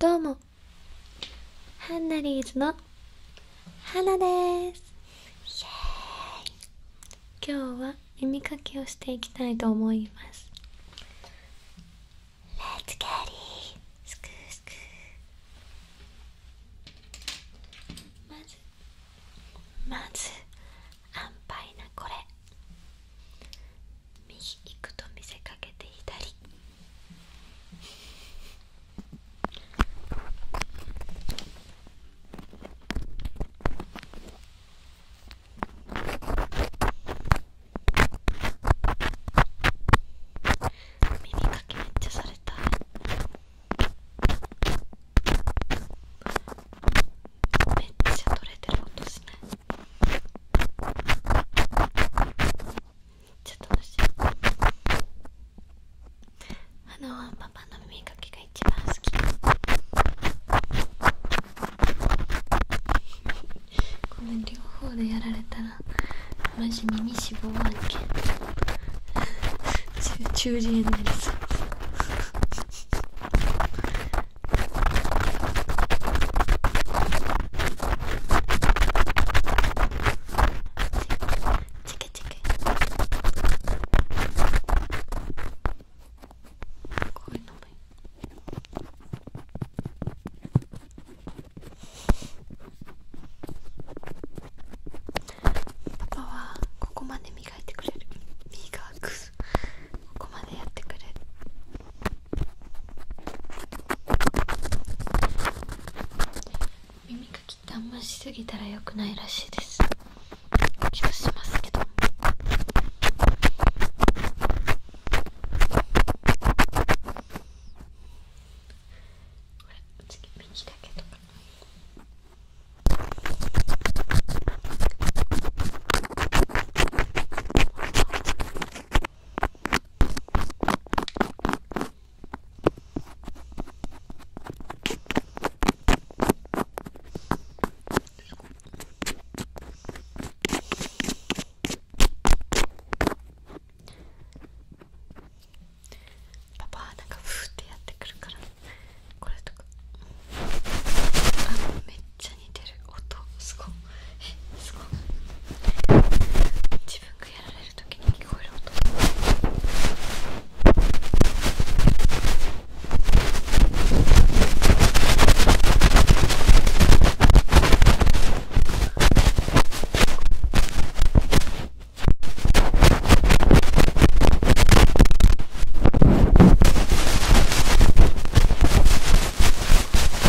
どうもハンナリーズの花ですイエーイ今日は耳かきをしていきたいと思いますレッツキャリースクスクまずまず安牌なこれ右行くと見せかけて左耳かきめっちゃされためっちゃ取れてる音しないちょっと楽しいあの、パパの耳かきが一番好きごめん、両方でやられたらマジ耳脂肪案件中耳炎になりそうチクチクこパパはここまで磨いてくれるーークス。ここまでやってくれる耳かきってあんましすぎたら良くないらしいです気がしますけどほら次右だけとか耳パパはなんかふってやってくるからこれとかあめっちゃ似てる音すごい自分がやられる時に聞こえる音こ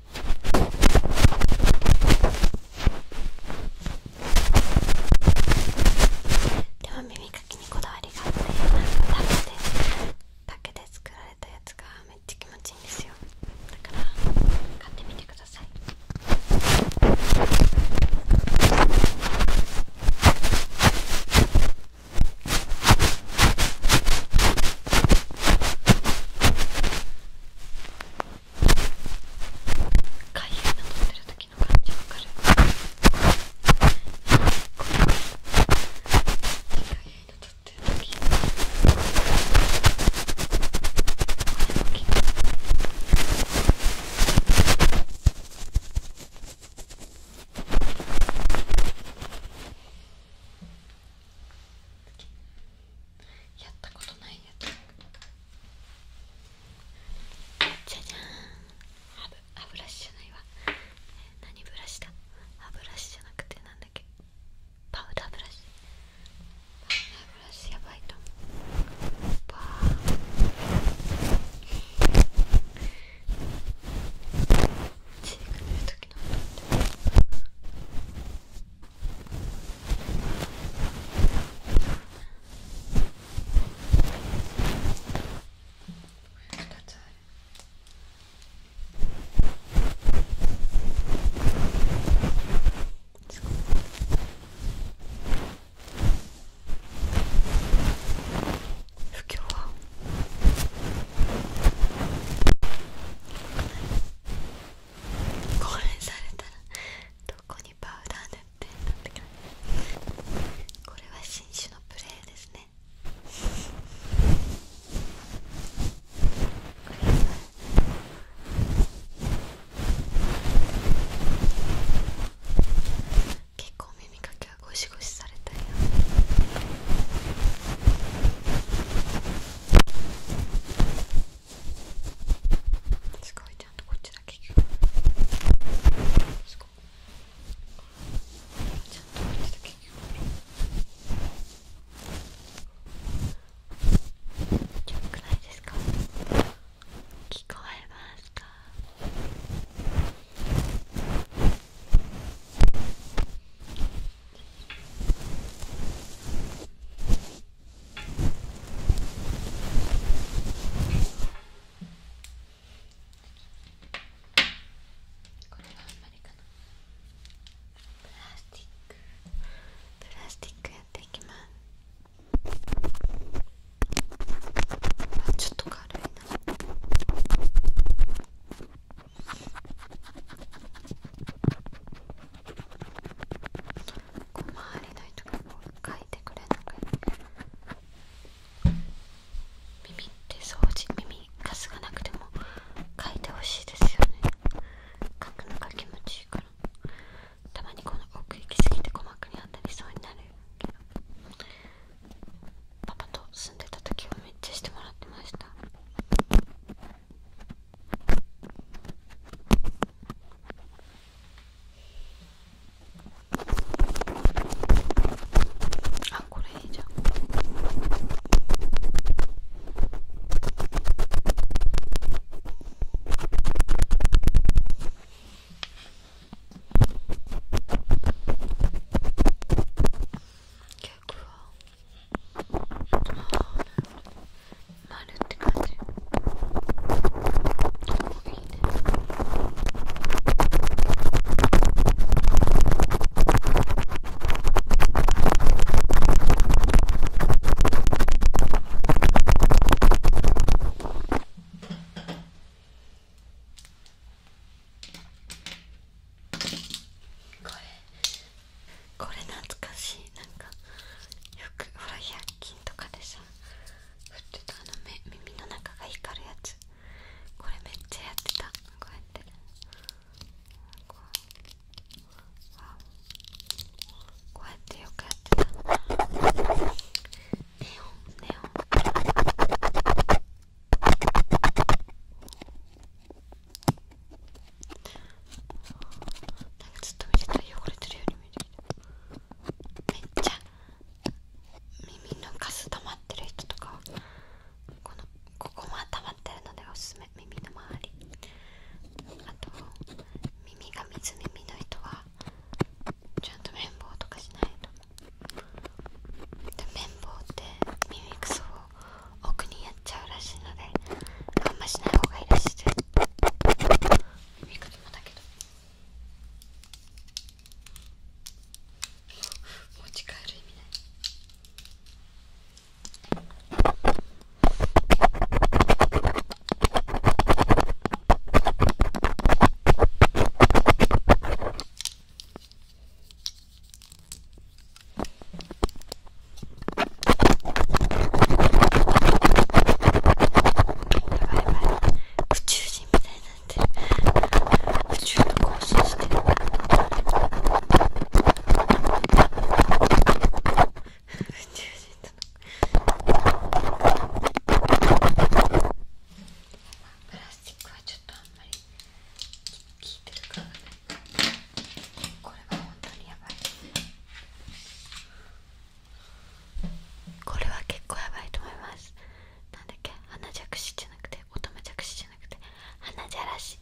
でも耳かきにこだわりがあってなんか竹で竹で作られたやつがめっちゃ気持ちいいんですよだから買ってみてください耳かゆいの取ってる時の感じわかるこれかゆいの取ってる時これもきれいこやったことないやつじゃじゃーん歯ブブラシじゃないわ、何ブラシだ歯ブラシじゃなくてなんだっけパウダーブラシパウダーブラシやばいと思うパーチーク塗るときなんだっ不況はこれされたらどこにパウダー塗ってんだって感じこれは新種のプレーですね結構耳かきはゴシゴシされすごいちゃんとこっちだけ聞こえますかこれはあんまりかなプラスティックプラスティックやっていきますあちょっと軽いな。こう周りの人がこう書いてくれなく耳って掃除耳かすがなくても書いてほしいですよね書くのが気持ちいいからたまにこの奥行きすぎて鼓膜に当たりそうになるけどパパと住んでた時はめっちゃしてもらってましたあこれいいじゃん曲はなるって感じおいいねこれこれ懐かしいなんかよくほら百均とかでさ振ってたあの目耳の中が光るやつこれめっちゃやってたこうやってこうやってよくやってたネオンネオンなんかずっと見てたら汚れてるように見えてきためっちゃ耳のカス溜まってる人とかはこのここも溜まってるのでおすすめ耳の周りあと耳が水耳の人はちゃんと綿棒とかしないとで綿棒って耳くそを奥にやっちゃうらしいのであんましない方がいいらしいです耳かきもだけど持ち帰る意味ない宇宙人みたいになって宇宙と交信してる宇宙人プラスチックはちょっとあんまり聞いてるかこれは本当にやばいこれは結構やばいと思いますなんだっけ花じゃじゃなくて乙女じゃくじゃなくて花じゃらし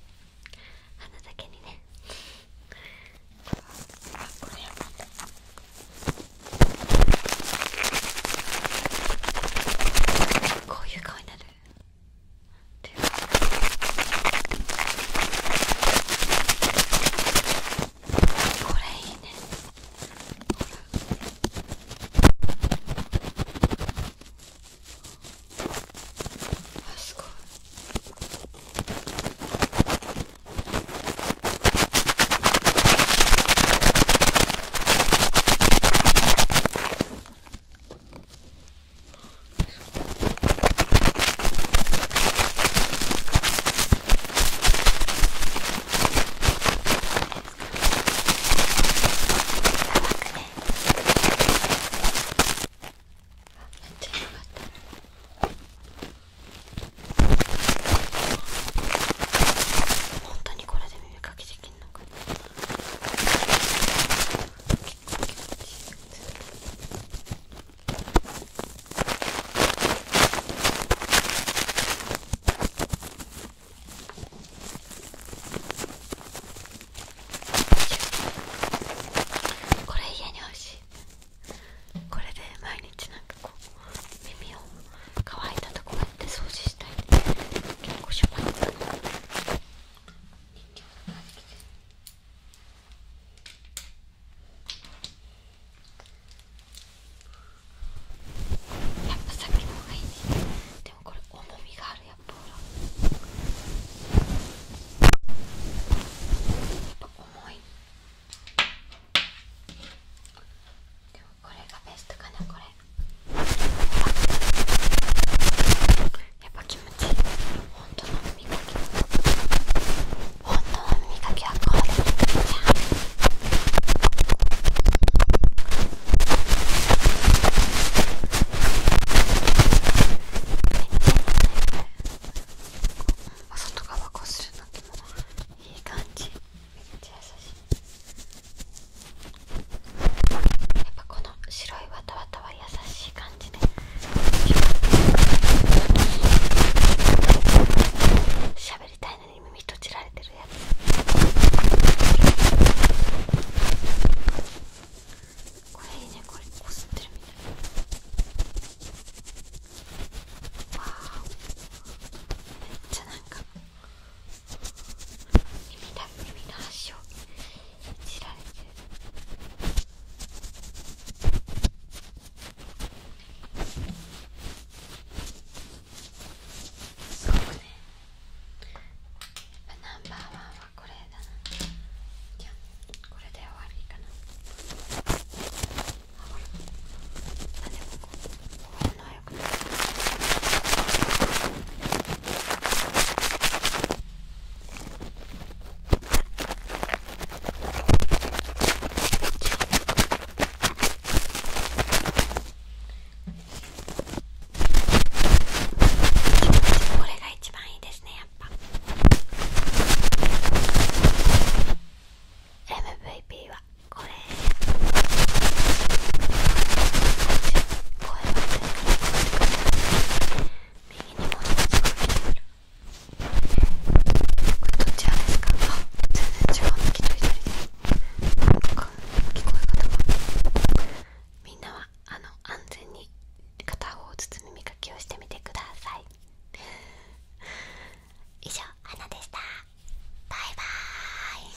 花だけにねこういう顔になるこれいいねすごい本当にこれで耳かきでこれ家に欲しいこれで毎日なんかこう耳を乾いたところで掃除したい結構しやっぱさっきの方がいいねでもこれ重みがあるや重いでもこれがベストかなこれやっぱ気持ちいい本当の耳かき本当の耳かきはこするめっちゃ優しいっぱこの白いわたわたは優しい感じで喋りたいのに耳閉じられてるやつこれいいねこれこすってるみたいわめっちゃなんか耳だ耳の端をいじられてすごくねナンバーワンはこれだなじゃあこれで終わりかなあでもこうこれが一番いいですねやっぱ MVP はこれ。声が出る右にものすごい出るこれどちらですかあ全然違う右と左なんか聞こえ方がみんなはあの安全に片方ずつ耳きをしてみてください以上、花でしたバイバーイ